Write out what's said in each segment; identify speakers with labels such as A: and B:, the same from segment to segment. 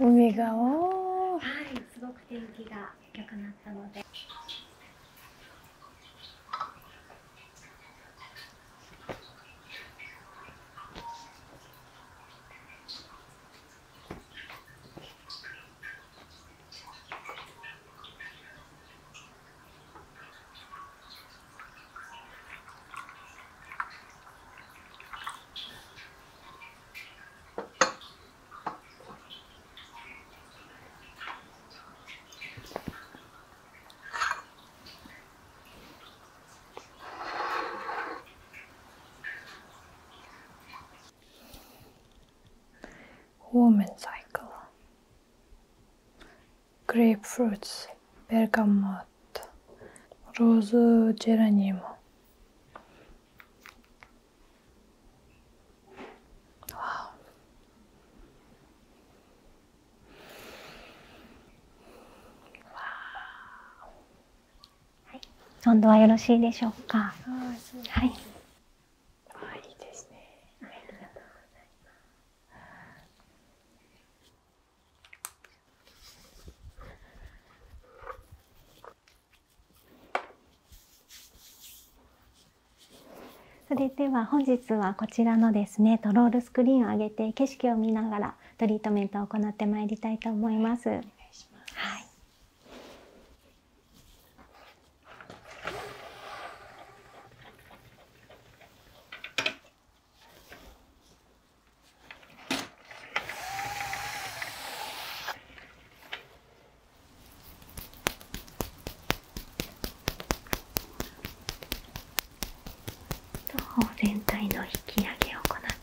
A: 海がはい、すご
B: く天気が良くなったので。
A: Woman cycle. Grapefruits, bergamot, rose geranimo, w あ。
B: はい、今度はよろしいでしょうか。そうはい。あ、いいですね。ありがとうございます。それでは本日はこちらのですねトロールスクリーンを上げて景色を見ながらトリートメントを行ってまいりたいと思います。はい方全体の引き上げを行っ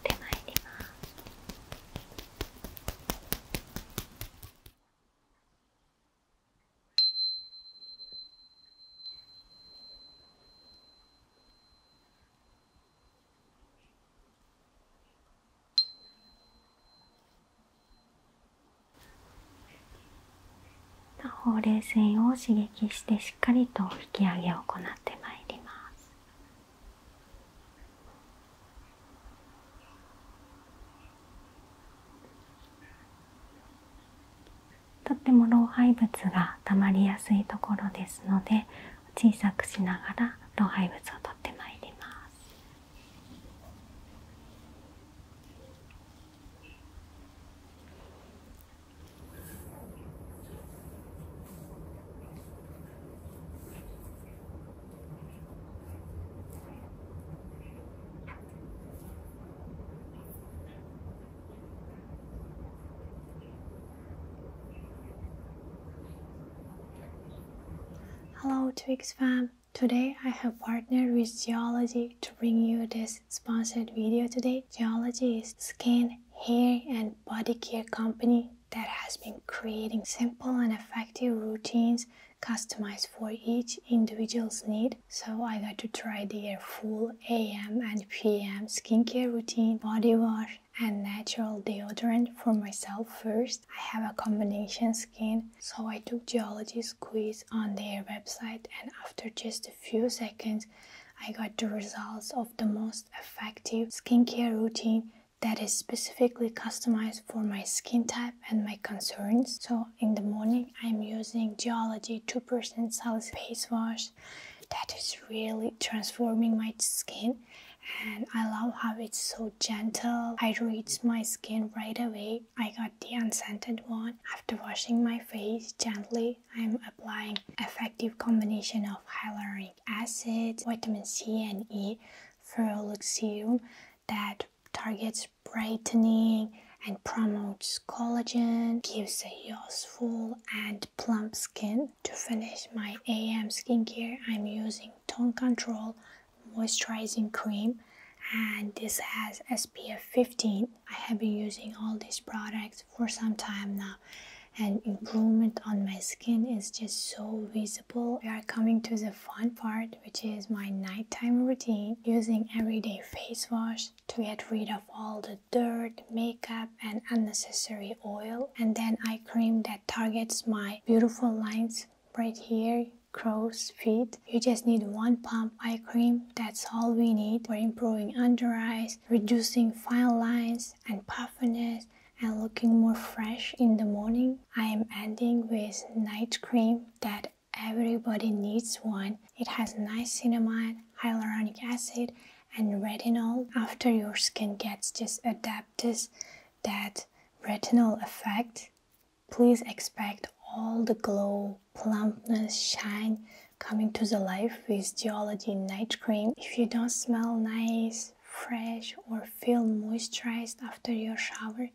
B: てまいります。ほうれい線を刺激してしっかりと引き上げを行ってまいりますとっても老廃物がたまりやすいところですので小さくしながら老廃物を取ってまいります。
A: Hello Twix fam! Today I have partnered with Geology to bring you this sponsored video today. Geology is skin, hair and body care company that has been creating simple and effective routines customized for each individual's need. So I got to try their full AM and PM skincare routine, body wash and natural deodorant for myself first. I have a combination skin, so I took Geology's quiz on their website and after just a few seconds, I got the results of the most effective skincare routine that is specifically customized for my skin type and my concerns. So in the morning, I'm using Geology 2% Salicylic Face Wash that is really transforming my skin and I love how it's so gentle. I reached my skin right away. I got the unscented one. After washing my face gently, I'm applying effective combination of hyaluronic acid, vitamin C and E Ferrolic serum that targets brightening and promotes collagen, gives a youthful and plump skin. To finish my AM skincare, I'm using Tone Control Moisturizing Cream and this has SPF 15. I have been using all these products for some time now and improvement on my skin is just so visible. We are coming to the fun part which is my nighttime routine using everyday face wash to get rid of all the dirt, makeup and unnecessary oil and then I cream that targets my beautiful lines right here crow's feet. You just need one pump eye cream. That's all we need for improving under eyes, reducing fine lines and puffiness and looking more fresh in the morning. I am ending with night cream that everybody needs one. It has niacinamide, hyaluronic acid and retinol. After your skin gets just adapted that retinal effect, please expect all the glow, plumpness, shine coming to the life with Geology Night Cream. If you don't smell nice, fresh or feel moisturized after your shower,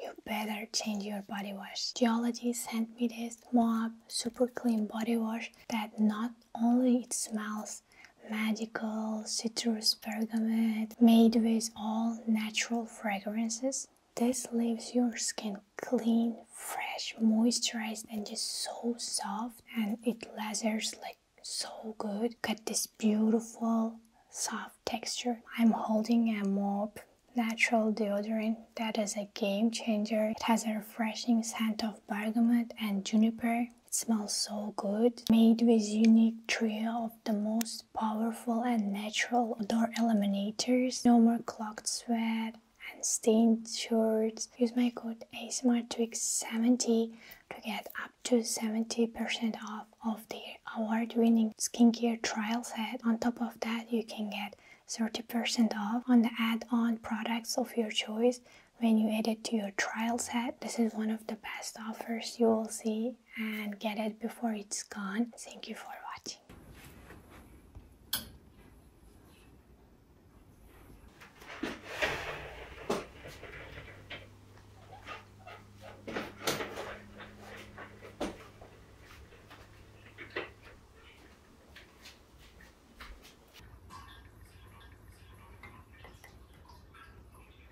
A: you better change your body wash. Geology sent me this Moab Super Clean Body Wash that not only it smells smells magical citrus bergamot made with all natural fragrances. This leaves your skin clean, fresh, moisturized, and just so soft. And it lathers like so good. Got this beautiful soft texture. I'm holding a mop natural deodorant that is a game changer. It has a refreshing scent of bergamot and juniper it smells so good. Made with unique trio of the most powerful and natural odor eliminators. No more clogged sweat and stained shirts. Use my code ASMRTwix70 to get up to 70% off of the award-winning skincare trial set. On top of that, you can get 30% off on the add-on products of your choice when you edit to your trial set. This is one of the best offers you will see and get it before it's gone. Thank you for watching.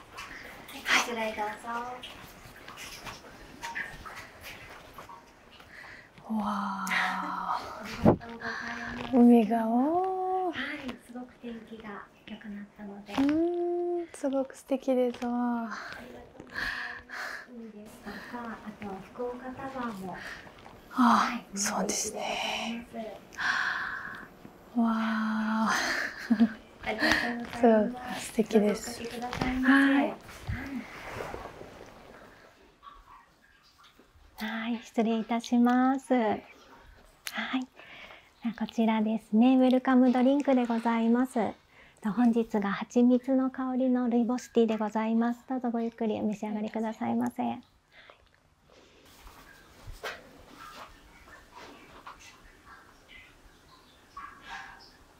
B: はい、失礼どうぞ。
A: わあ。海がお。はい、すがうん、すごく素敵ですわ。いいですか、あと福岡タワーも。あ、そうですね。わありがとうございます。素敵です。はい。
B: 失礼いたします。はい。こちらですね、ウェルカムドリンクでございます。本日が蜂蜜の香りのルイボスティーでございます。どうぞごゆっくりお召し上がりくださいませ。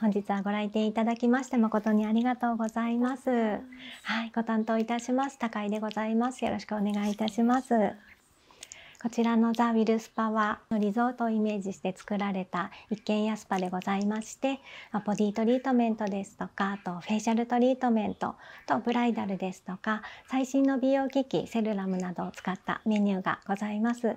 B: 本日はご来店いただきまして誠にありがとうございます。はい、ご担当いたします高井でございます。よろしくお願いいたします。こちらのザ・ウィルスパはリゾートをイメージして作られた一軒家スパでございましてボディートリートメントですとかあとフェイシャルトリートメントとブライダルですとか最新の美容機器セルラムなどを使ったメニューがございます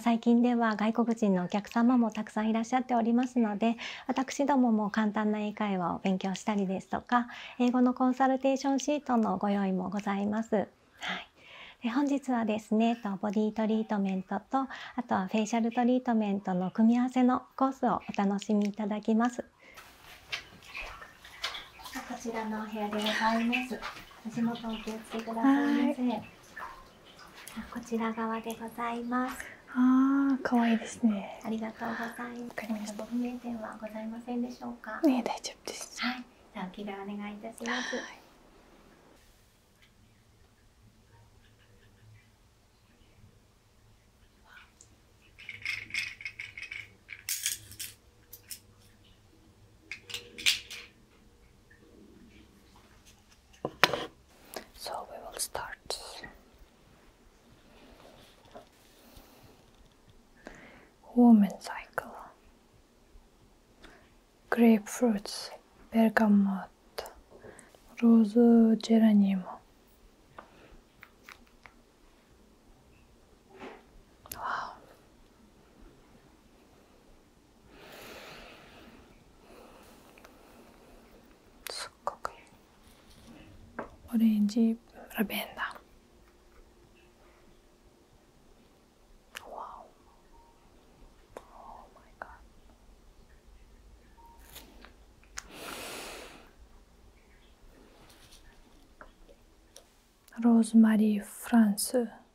B: 最近では外国人のお客様もたくさんいらっしゃっておりますので私どもも簡単な英会話を勉強したりですとか英語のコンサルテーションシートのご用意もございます。はいで本日はですねボディトリートメントとあとはフェイシャルトリートメントの組み合わせのコースをお楽しみいただきます。こちらのお部屋でございます。足元お気をつけくださいませ。こちら側でございます。
A: ああ、可愛いですね。
B: ありがとうございます。わかりまし不明点はございませんでしょうか。
A: So we will start. Woman cycle. Grapefruits, bergamot, rose geranium. Wow. Su Orange lavender. Wow. Oh my god. Rosemary France.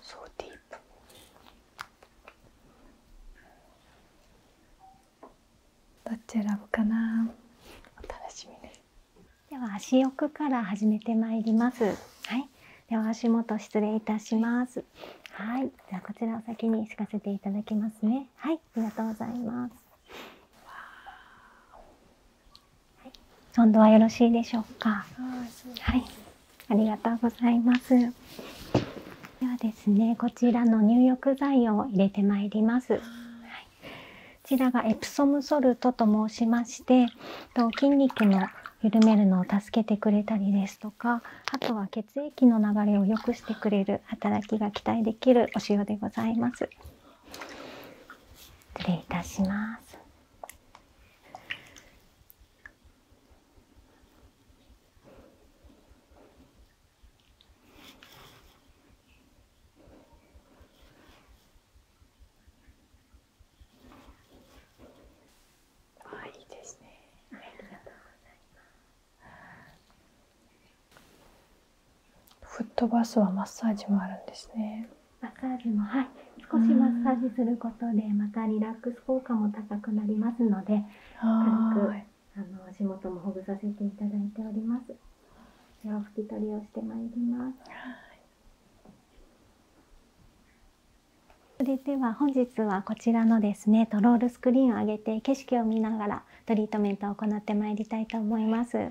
A: So deep.「どっち選ぶかな楽しみで
B: では足奥から始めてまいります。はい、では足元失礼いたします。はい、じゃあこちらを先に敷かせていただきますね。はい、ありがとうございます。今度はよろしいでしょうか。はい、ありがとうございます。ではですね、こちらの入浴剤を入れてまいります。こちらがエプソムソルトと申しまして、と筋肉の緩めるのを助けてくれたりですとか、あとは血液の流れを良くしてくれる働きが期待できるお塩でございます。失礼いたします。
A: あいいですね。ありがとす。フットバスはマッサージもあるんで
B: すね。マッサはい少しマッサージすることでまたリラックス効果も高くなりますので軽くあの足元もほぐさせていただいておりますでは拭き取りをしてまいりますそれでは本日はこちらのですねトロールスクリーンを上げて景色を見ながらトリートメントを行ってまいりたいと思います。はい、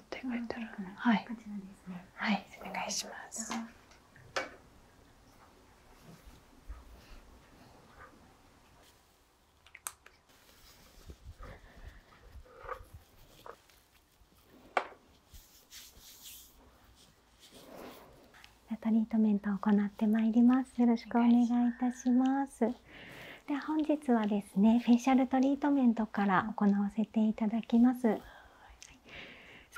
A: って書いてある。はい。はい、お願いします。
B: トリートメントを行ってまいります。よろしくお願いいたします。では本日はですね、フェイシャルトリートメントから行わせていただきます。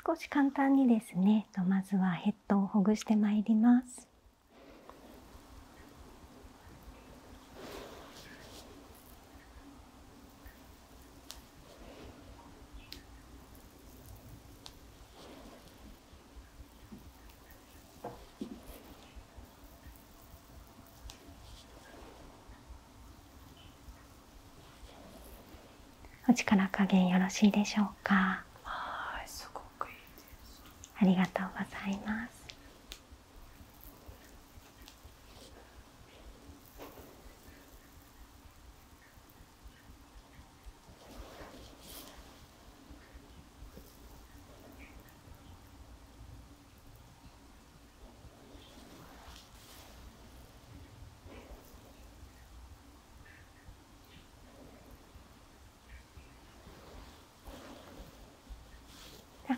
B: 少し簡単にですねまずはヘッドをほぐしてまいります。お力加減よろしいでしょうか。ありがとうございます。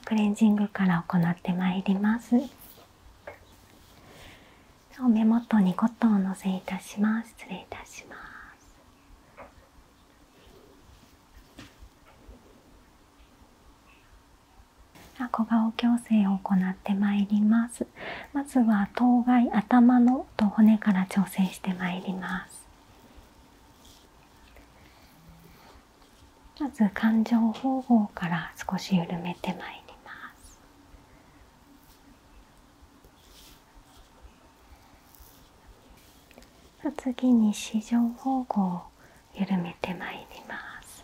B: クレンジングから行ってまいります目元にコットンをのせいたします失礼いたします小顔矯正を行ってまいりますまずは頭蓋頭のと骨から調整してまいりますまず感情方法から少し緩めてまいります次に四上方向を緩めてまいります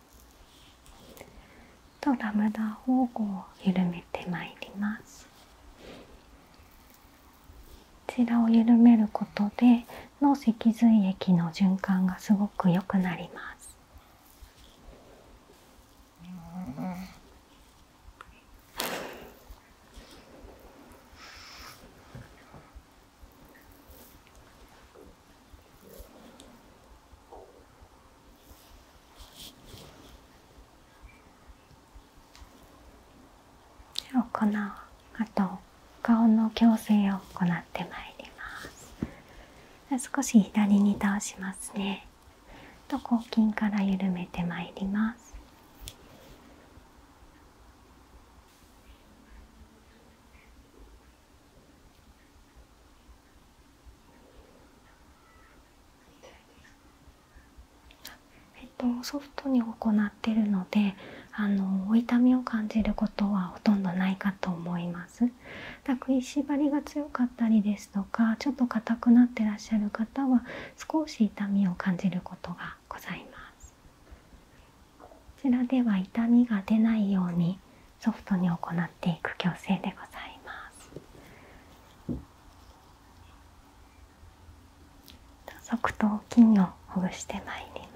B: とラムダをこう緩めてまいりますこちらを緩めることで脳脊髄液の循環がすごく良くなりますお粉あと顔の矯正を行ってまいります少し左に倒しますねと後筋から緩めてまいりますえっと、ソフトに行ってるのであの痛みを感じることはほとんどないかと思いますだ食いしばりが強かったりですとかちょっと硬くなってらっしゃる方は少し痛みを感じることがございますこちらでは痛みが出ないようにソフトに行っていく矯正でござい
A: ま
B: す側頭筋をほぐしてまいります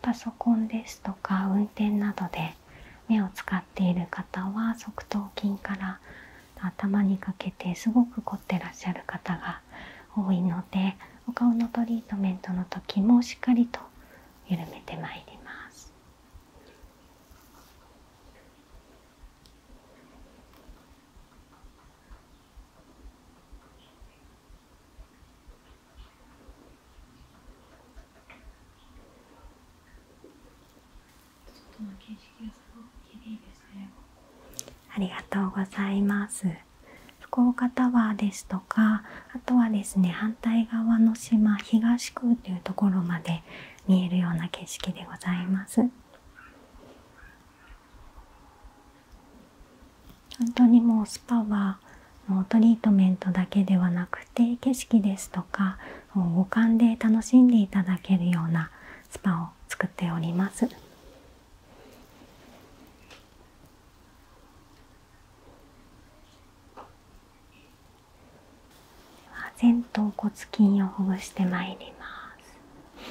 B: パソコンですとか運転などで目を使っている方は側頭筋から頭にかけてすごく凝ってらっしゃる方が多いのでお顔のトリートメントの時もしっかりと緩めてまいります。ありがとうございます。福岡タワーですとか、あとはですね、反対側の島、東区というところまで見えるような景色でございます。本当にもうスパはもうトリートメントだけではなくて景色ですとか五感で楽しんでいただけるようなスパを作っております。では、前頭骨筋をほぐしてまいります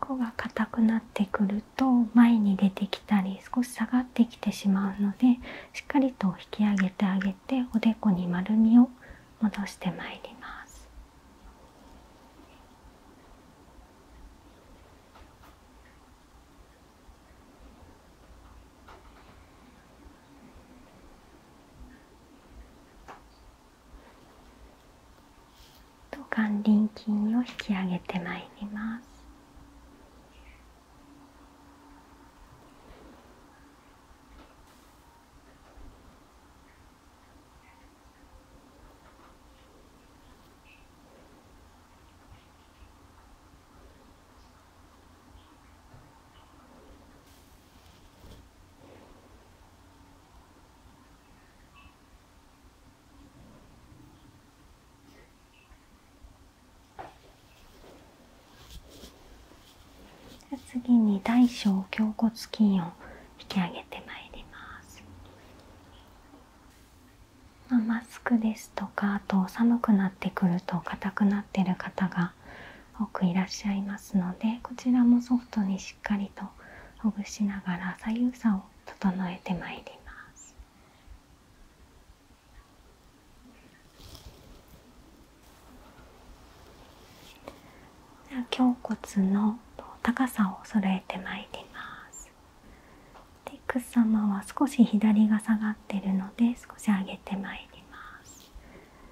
B: ここが硬くなってくると前に出てきたり少し下がってきてしまうのでしっかりと引き上げてあげておでこに丸みを戻してまいります。と眼輪筋を引き上げてまいります次に大小胸骨筋を引き上げてまいります、マスクですとかあと寒くなってくると硬くなってる方がが多くいらっしゃいますのでこちらもソフトにしっかりとほぐしながら左右差を整えてまいります。では胸骨の高さを揃えてまいります。で様は少し左が下がってるので少し上げてまいります。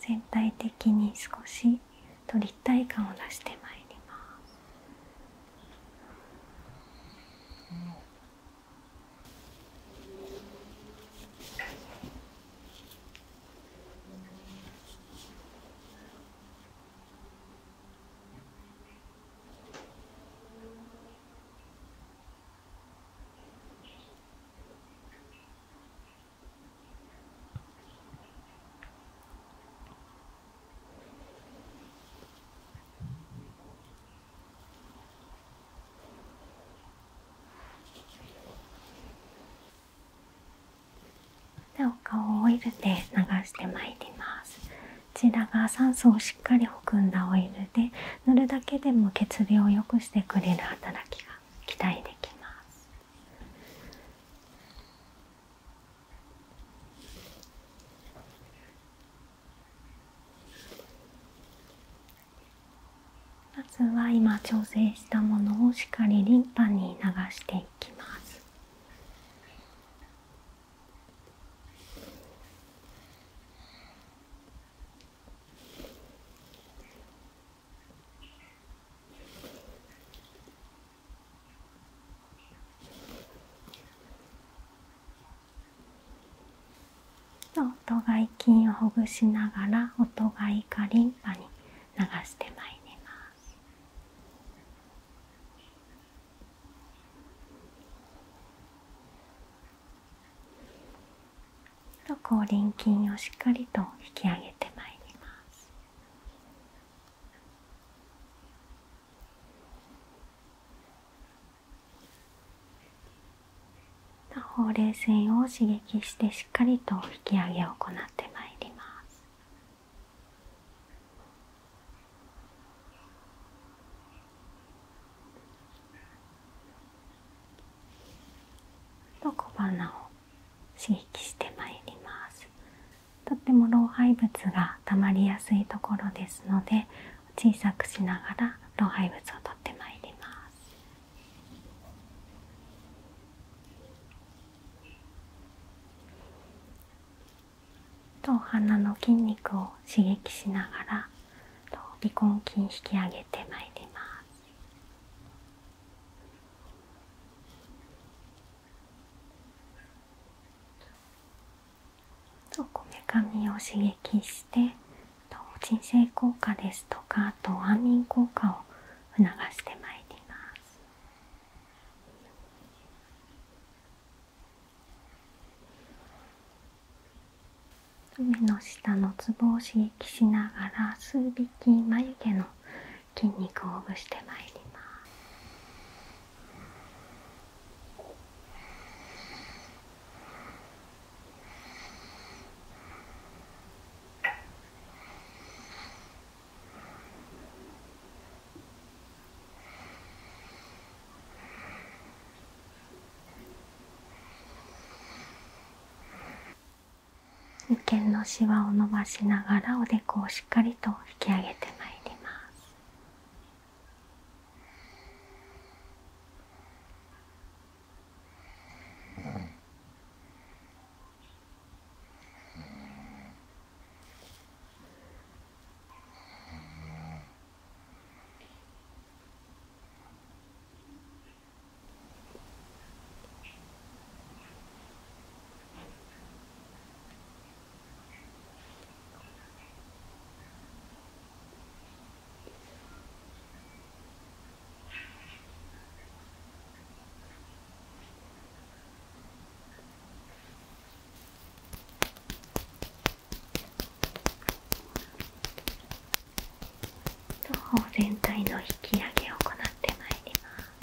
B: 全体的に少しと立体感を出してまいります。でお顔をオイルで流してまいりますこちらが酸素をしっかり含んだオイルで塗るだけでも血流を良くしてくれる働きが期待できますまずは今調整したものをしっかりリンパに流していきます音外筋をほぐしながら音外かリンパに流してまいります後輪筋をしっかりと引き上げてまいりますほうれい線を刺激してしっかりと引き上げを行ってまいりますと小鼻を刺激してまいりますとっても老廃物がたまりやすいところですので小さくしながら老廃物を取ってまいりますと鼻の筋肉を刺激しながら鼻根筋引き上げてまいりますこめかみを刺激して鎮静効果ですとかと安眠効果を促してまいります。目の下のツボを刺激しながら数匹眉毛の筋肉をほぐしてまいります。眉間のしわを伸ばしながらおでこをしっかりと引き上げてまいります全体の引き上げを行ってまいります。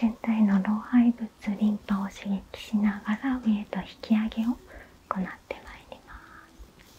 B: 全体の老廃物リンパを刺激しながら上へと引き上げをを行ってまいります。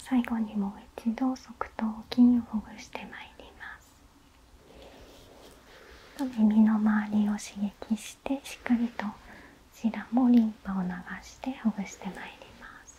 B: 最後にもう一度側頭筋をほぐしてまいります耳の周りを刺激してしっかりとこちらもリンパを流してほぐしてまいります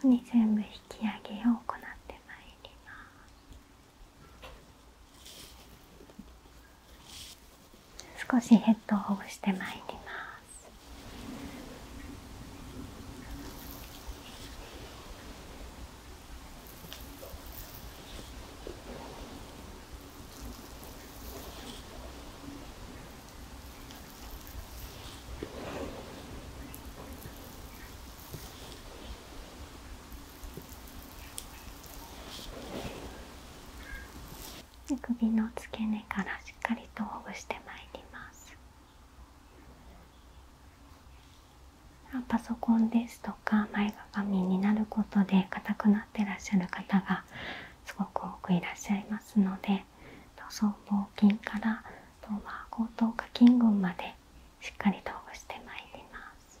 B: ここに全部引き上げを行ってまいります。少しヘッドをほぐしてまいります首の付け根からしっかりとほぐしてまいりますパソコンですとか前ががみになることで硬くなってらっしゃる方がすごく多くいらっしゃいますので塗装帽筋から後頭下筋群までしっかりとほぐしてまいります。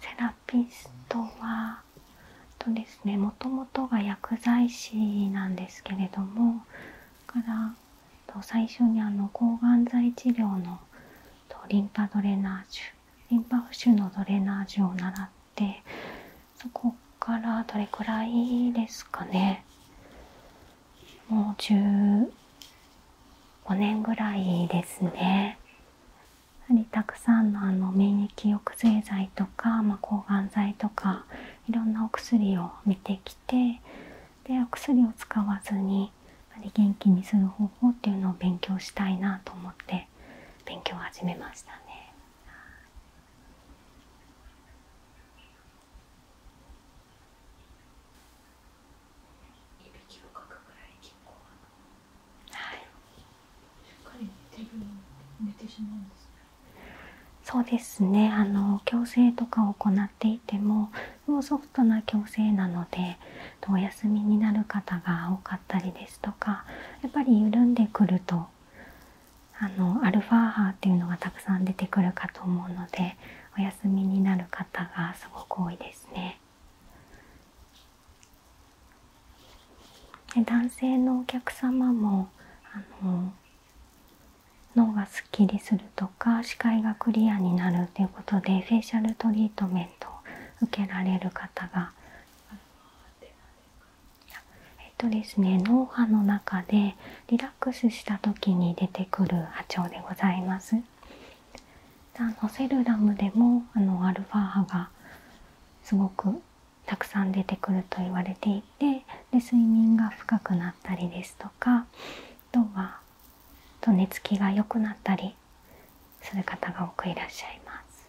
B: セラピストはもともとが薬剤師なんですけれどもから最初に抗がん剤治療のリンパドレナージュリンパ浮腫のドレナージを習ってそこからどれくらいですかねもう15年ぐらいですねやはりたくさんのあの免疫抑制剤とか、ま抗がん剤とかいろんなお薬を見てきてでお薬を使わずに元気にする方法っていうのを勉強したいなと思ってそうですねあの矯正とかを行っていてももうソフトな矯正なのでお休みになる方が多かかたりですとかやっぱり緩んでくるとあのアルファ波っていうのがたくさん出てくるかと思うのでお休みになる方がすごく多いですね。で男性のお客様もあの脳がすっきりするとか視界がクリアになるということでフェイシャルトリートメントを受けられる方がえっとですね脳波の中でリラックスした時に出てくる波長でございますあのセルラムでもあのアルファ波がすごくたくさん出てくると言われていてで睡眠が深くなったりですとかあとと寝つきが良くなったりする方が多くいらっしゃいます。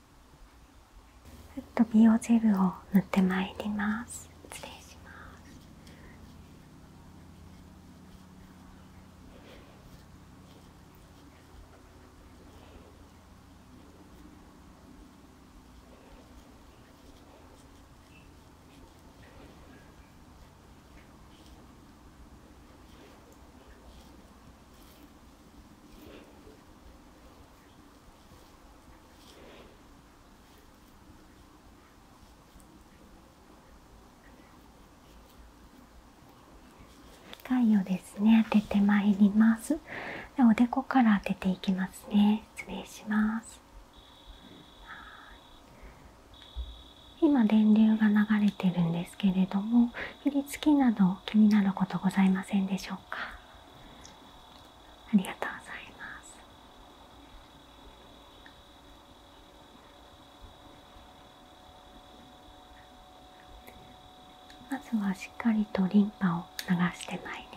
B: ちょっと美容ジェルを塗ってまいります失礼します太陽ですね当ててまいりますおでこから当てていきますね失礼します今電流が流れてるんですけれども振り付けなど気になることございませんでしょうかありがとうございますまずはしっかりとリンパを流してまいります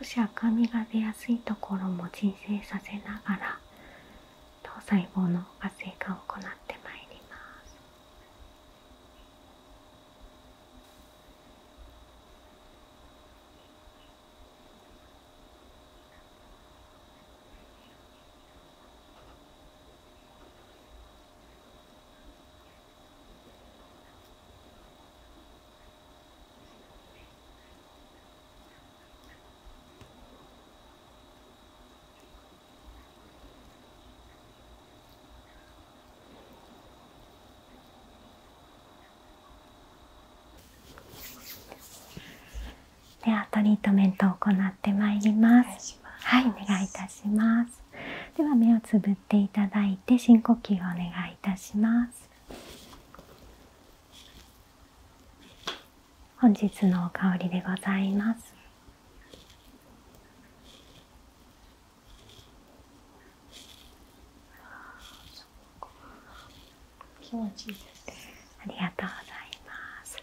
B: 少し赤みが出やすいところも鎮静させながら糖細胞の活性化を行ってまいりますではトリートメントを行ってまいります。はい、お願いいたします。では目をつぶっていただいて深呼吸をお願いいたします本日の香りでございます
A: 気持ちいいです
B: ありがとうございます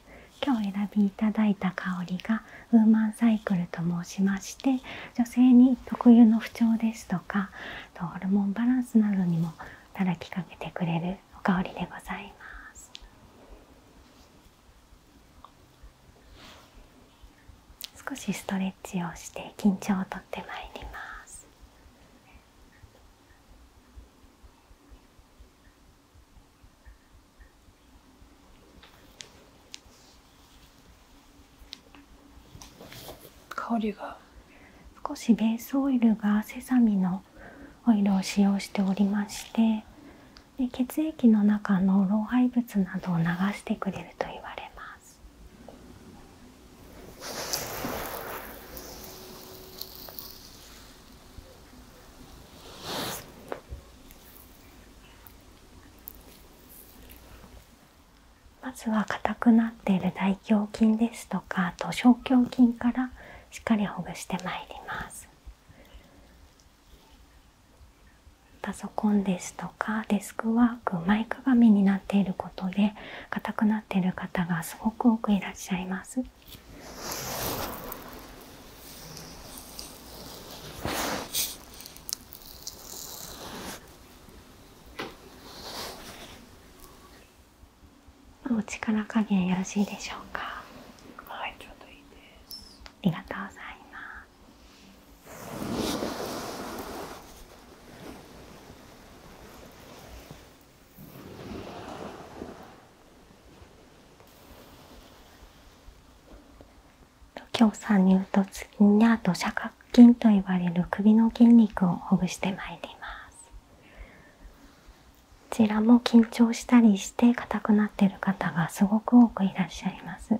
B: 今日選びいただいた香りがウーマンサイクルと申しまして女性に特有の不調ですとかとホルモンバランスなどにも働きかけてくれるお香りでございます少しストレッチをして緊張をとってまいります
A: 香りが
B: 少しベースオイルがセサミのオイルを使用しておりまして血液の中の老廃物などを流してくれると言われますまずは硬くなっている大胸筋ですとかあと小胸筋からしっかりほぐしてまいりますパソコンですとかデスクワーク前かがみになっていることで硬くなっている方がすごく多くいらっしゃいますお力加減よろしいでしょうかはいちょうどいいですありがとうございます今日参入と次にあと斜角筋といわれる首の筋肉をほぐしてまいりますこちらも緊張したりして硬くなっている方がすごく多くいらっしゃいます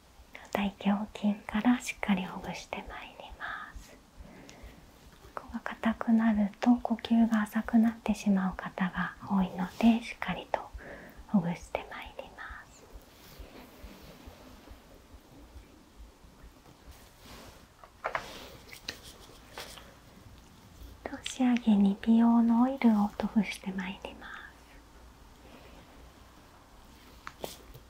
B: 大胸筋からしっかりほぐしてまいりますここが硬くなると呼吸が浅くなってしまう方が多いのでしっかりとほぐしてまいりますと仕上げに美容のオイルを塗布してまいります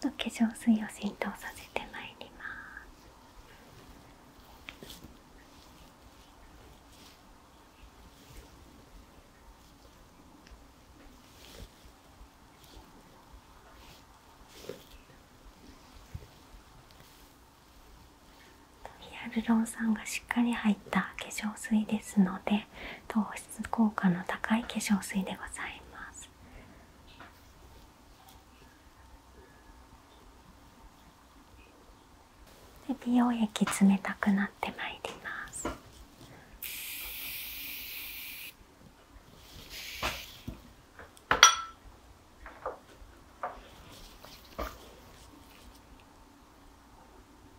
B: 化粧水を浸透させてまいりますヒアルロン酸がしっかり入った化粧水ですので糖質効果の高い化粧水でございます美容液冷たくなってまいります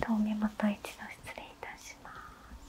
B: 遠目また一度失礼いたします。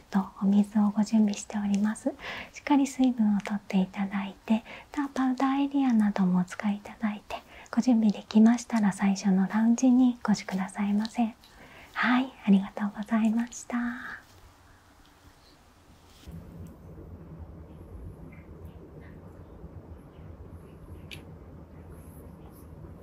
B: ルとお水をご準備しておりますしっかり水分をとっていただいてパウダーエリアなどもお使いいただいてご準備できましたら最初のラウンジにご視聴くださいませはいありがとうございました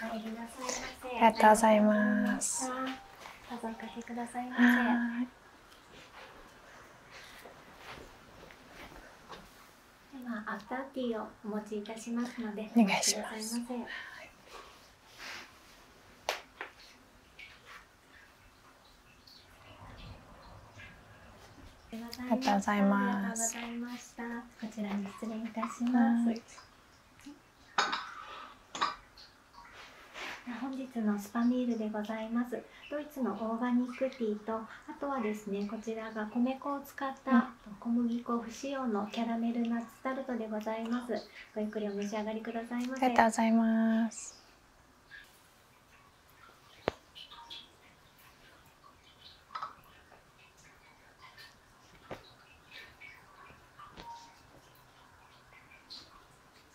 B: ありがとうございます。どうぞおかけくださいませ。ではアフターティーをお持ちいたしますのでお願いしますありがとうございます。こちらに失礼いたします。本日のスパミールでございますドイツのオーガニックティーとあとはですねこちらが米粉を使った小麦粉不使用のキャラメルナッツタルトでございますごゆっくりお召し上がりくださいござ
A: います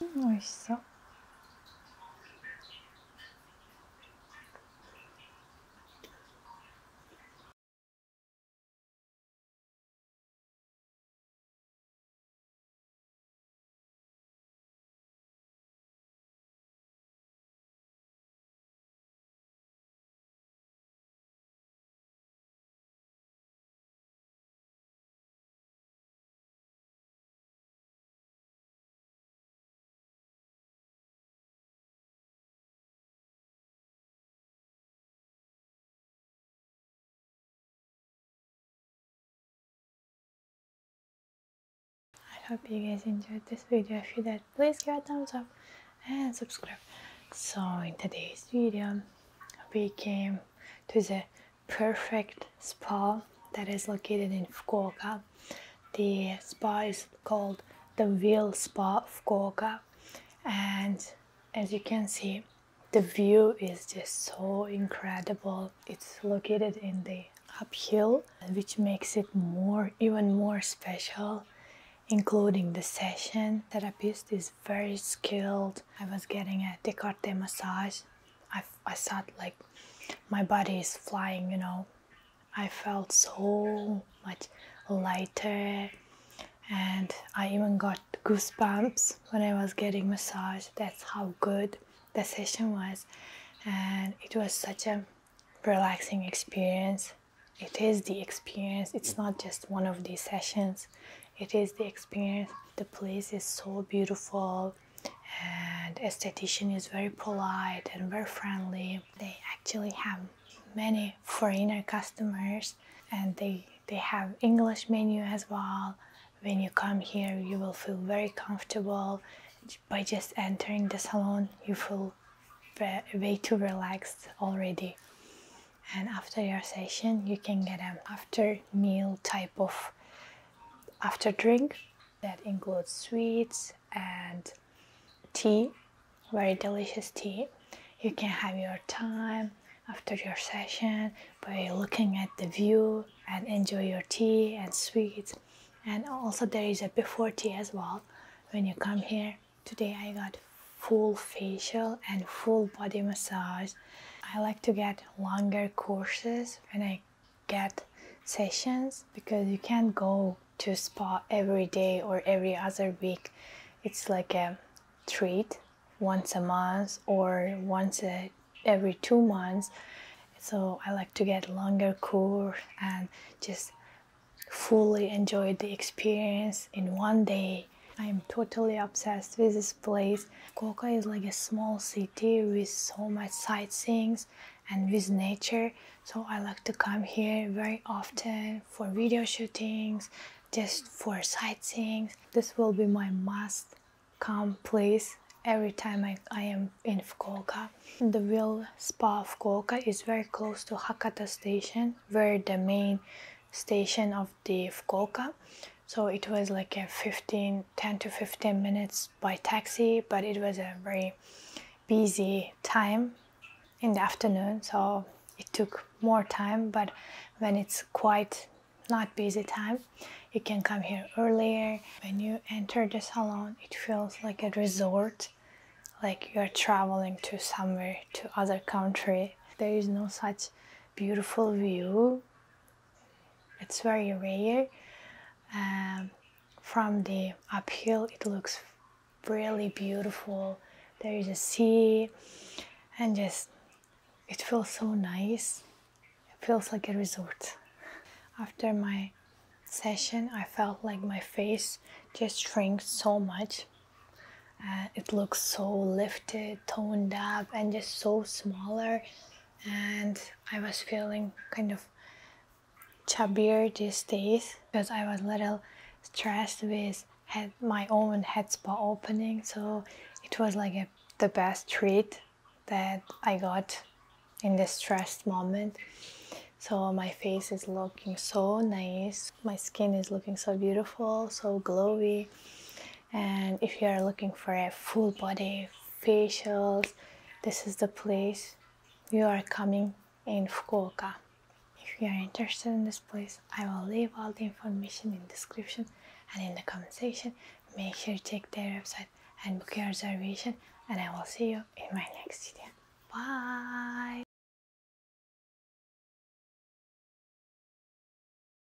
A: うん、美しそう。I hope you guys enjoyed this video. If you did, please give a thumbs up and subscribe. So in today's video, we came to the perfect spa that is located in Fukuoka. The spa is called the Real Spa Fukuoka and as you can see the view is just so incredible. It's located in the uphill which makes it more even more special including the session. Therapist is very skilled. I was getting a décolleté massage. I sat like my body is flying, you know. I felt so much lighter and I even got goosebumps when I was getting massage. That's how good the session was and it was such a relaxing experience. It is the experience. It's not just one of these sessions. It is the experience. The place is so beautiful and esthetician is very polite and very friendly they actually have many foreigner customers and they they have english menu as well when you come here you will feel very comfortable by just entering the salon you feel way too relaxed already and after your session you can get an after meal type of after drink that includes sweets and tea very delicious tea you can have your time after your session by looking at the view and enjoy your tea and sweets and also there is a before tea as well when you come here today i got full facial and full body massage i like to get longer courses and I get sessions because you can't go to spa every day or every other week. It's like a treat once a month or once every two months. So I like to get longer course and just fully enjoy the experience in one day. I'm totally obsessed with this place. Fukuoka is like a small city with so much sightseeing and with nature, so I like to come here very often for video shootings, just for sightseeing. This will be my must come place every time I, I am in Fukuoka. The real spa Fukuoka is very close to Hakata station, where the main station of the Fukuoka so it was like a 15 10 to 15 minutes by taxi but it was a very busy time in the afternoon so it took more time but when it's quite not busy time you can come here earlier when you enter the salon it feels like a resort like you're traveling to somewhere to other country there is no such beautiful view it's very rare um, from the uphill it looks really beautiful there is a sea and just it feels so nice it feels like a resort after my session i felt like my face just shrunk so much uh, it looks so lifted toned up and just so smaller and I was feeling kind of chubbier these days because I was a little stressed with had my own head spa opening so it was like the best treat that I got in this stressed moment so my face is looking so nice my skin is looking so beautiful so glowy and if you are looking for a full body facials this is the place you are coming in Fukuoka if you are interested in this place I will leave all the information in description and in the comment section make sure to check their website and book your reservation and I will see you in my next video bye